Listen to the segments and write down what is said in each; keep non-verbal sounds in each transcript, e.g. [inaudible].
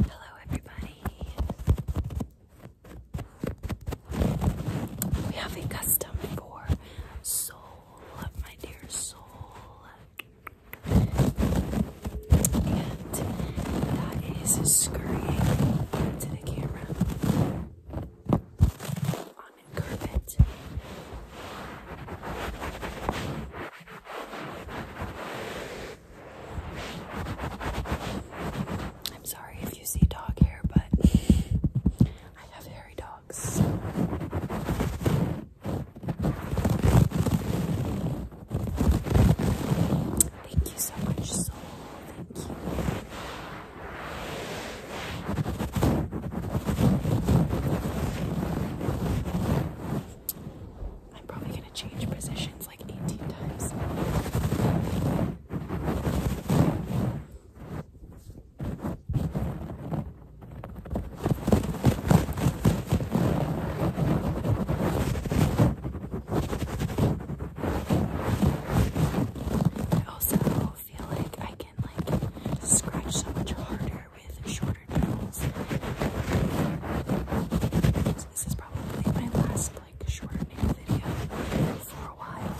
Hello, everybody. We have a custom for Soul, my dear Soul. And that is scurrying into the camera on carpet. I'm sorry if you see dog hair, but I have hairy dogs. Thank you so much, Soul. Thank you. I'm probably going to change positions like 18 times. I also feel like I can like scratch so much harder with shorter nails. this is probably my last like shorter nail video for a while.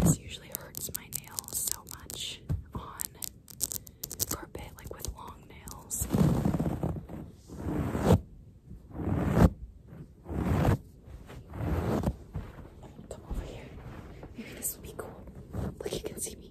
This usually hurts my nails so much on carpet, like with long nails. Come over here. Maybe this will be cool. Look, you can see me.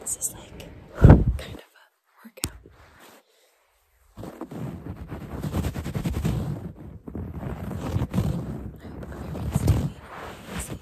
This is like kind of a workout. I hope everyone's doing easy.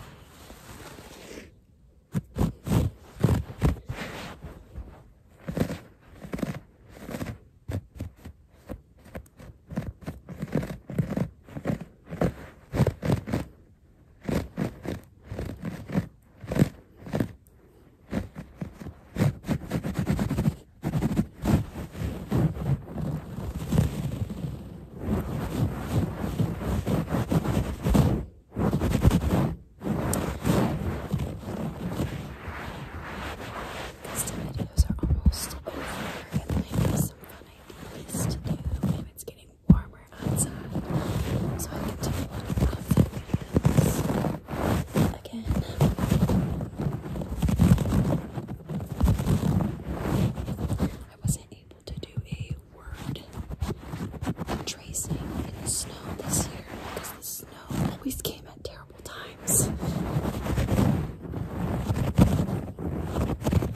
These two videos are almost over, and I some fun ideas to do when it's getting warmer outside. So I can do a of outfit again. I wasn't able to do a word tracing in the snow this year because the snow always came at terrible terrible times.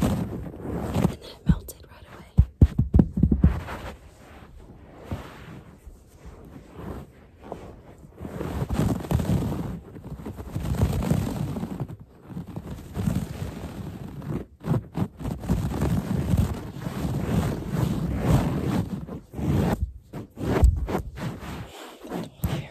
And then it melted right away. Here.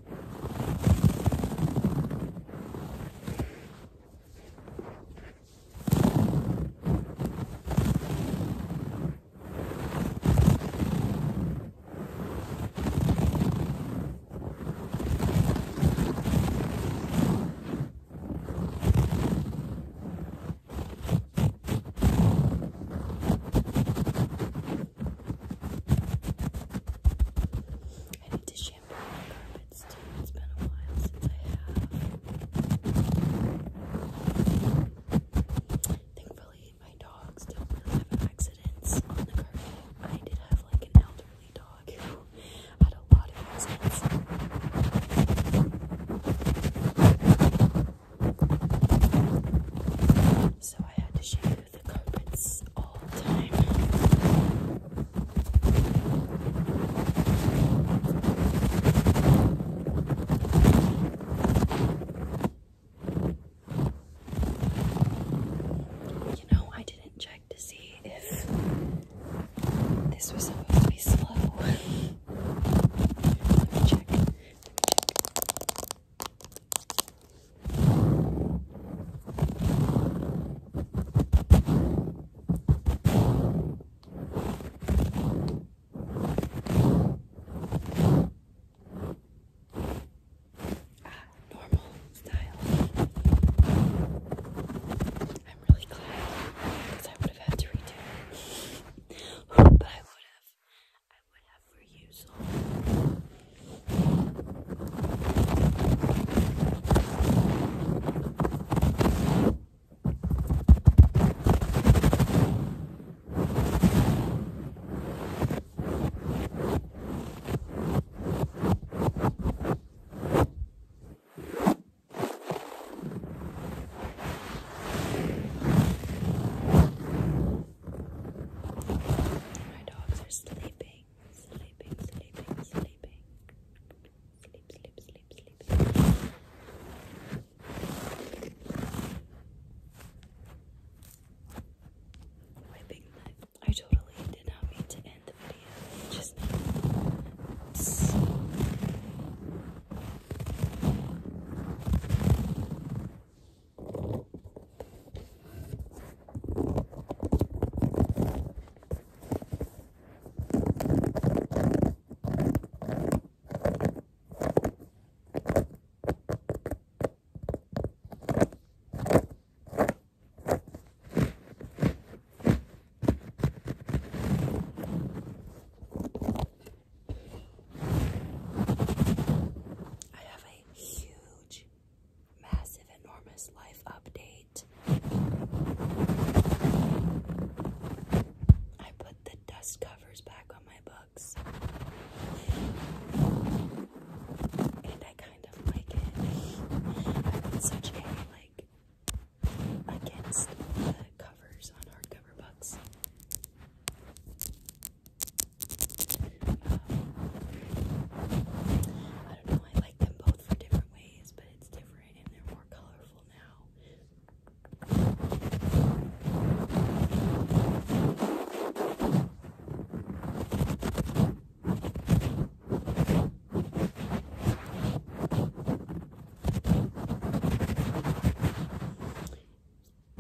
I need to show I Thankfully, my dogs don't really have accidents on the carpet. I did have like an elderly dog who had a lot of accidents. So I had to shave the carpets all time. You know, I didn't check to see if this was supposed to be slow. [laughs] Ah, normal style. I'm really glad because I would have had to redo it. [laughs] but I would have I would have for you, my dogs are sleeping sleeping, sleeping, sleeping. Sleep, sleep, sleep, sleep. Wiping the I totally did not mean to end the video. Just I have a huge massive, enormous life update. I put the dust covers back on my books, and I kind of like it. I've such a like against the covers on hardcover books. Um, I don't know, I like them both for different ways, but it's different and they're more colorful now.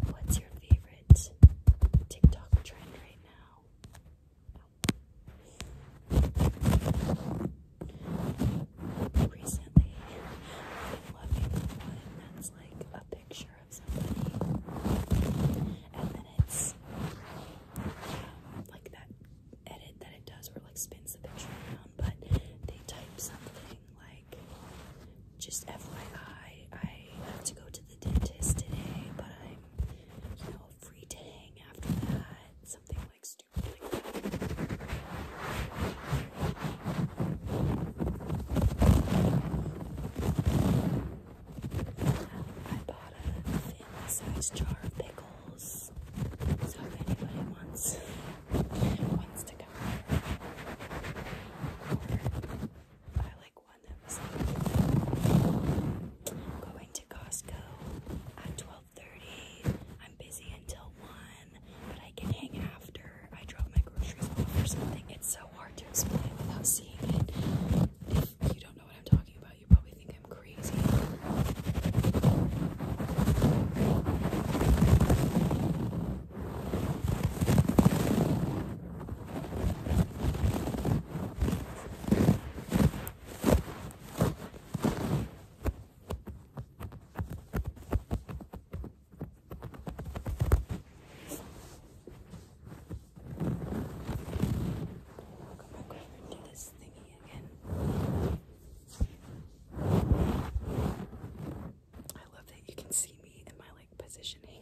What's your favorite TikTok trend right now? Recently, I've been loving one that's like a picture of somebody, and then it's um, like that edit that it does where like spins the picture around, but they type something like just FYI, I have to go to the dentist today, but I'm, you know, free to hang after that. Something like stupid I bought a family-sized jar of pickles, so if anybody wants, wants to come I like like one going to Costco at 12:30. I'm busy until one, but I can hang after I drop my groceries off or something. It's so hard to explain without seeing it. If you don't know what I'm talking about, you probably think I'm crazy. Come back over to this thingy again. I love that you can see me in my like positioning.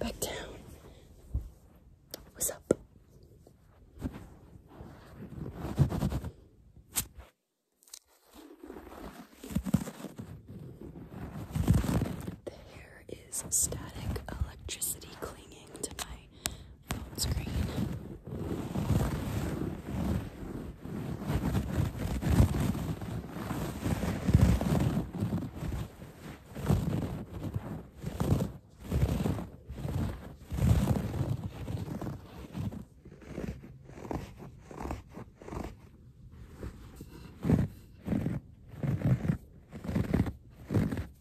Back down. What's up? The hair static electricity clinging to my phone screen.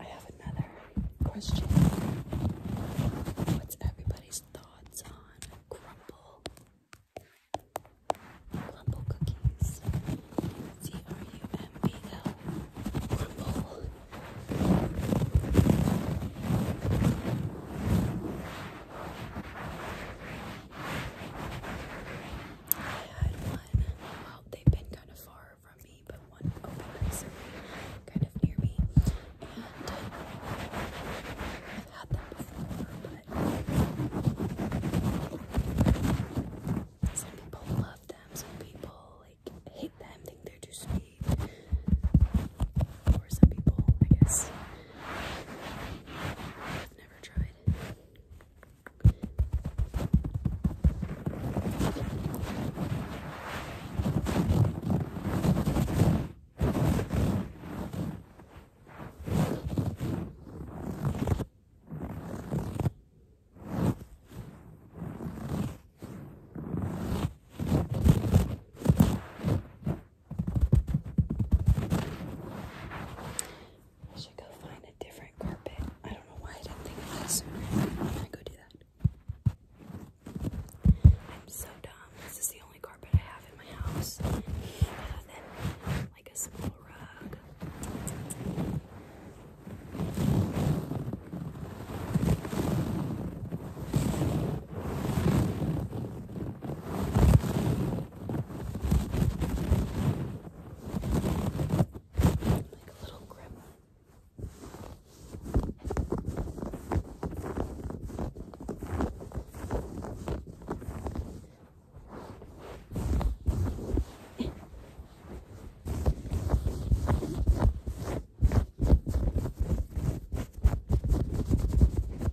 I have another question. What's everybody's thoughts on crumble? Crumble cookies. C R U M B L. Crumble. I had one, well, they've been kind of far from me, but one open kind of near me, and I've had them before, but some people love them, some people, like, hate them, think they're too sweet, or some people, I guess, never tried. I should go find a different carpet. I don't know why I didn't think of that I'm that. i so dumb. This is the only carpet I have in my house. Other than like a small rug. Like a little gremlin.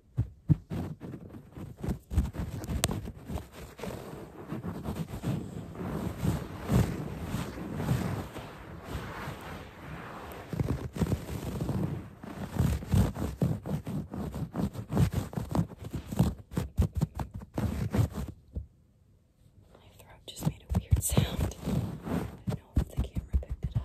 My throat just made a weird sound. I don't know if the camera picked it up.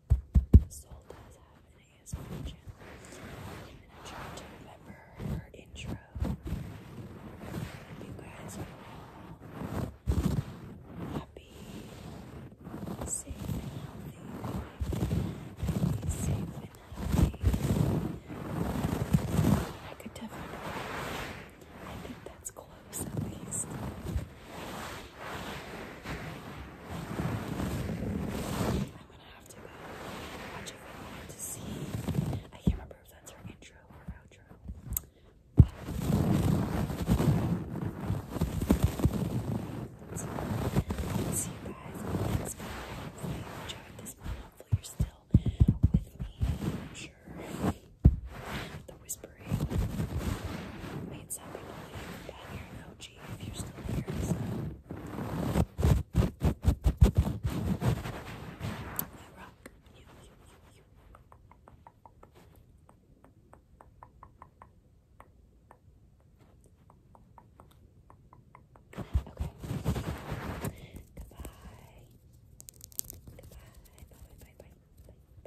Soul does have an ASMR channel. And I'm intro. you guys are all happy, safe, and healthy. safe, and healthy. I could definitely. I think that's cool envelopes at least. I'm gonna have to go watch a video to see. I can't remember if that's her intro or outro. So, I'll see you guys in the next video. Hopefully, you enjoyed this one. Hopefully, you're still with me. I'm sure the whisper sorry. you Okay. Goodbye. Goodbye. Bye, bye, bye, bye, bye, bye.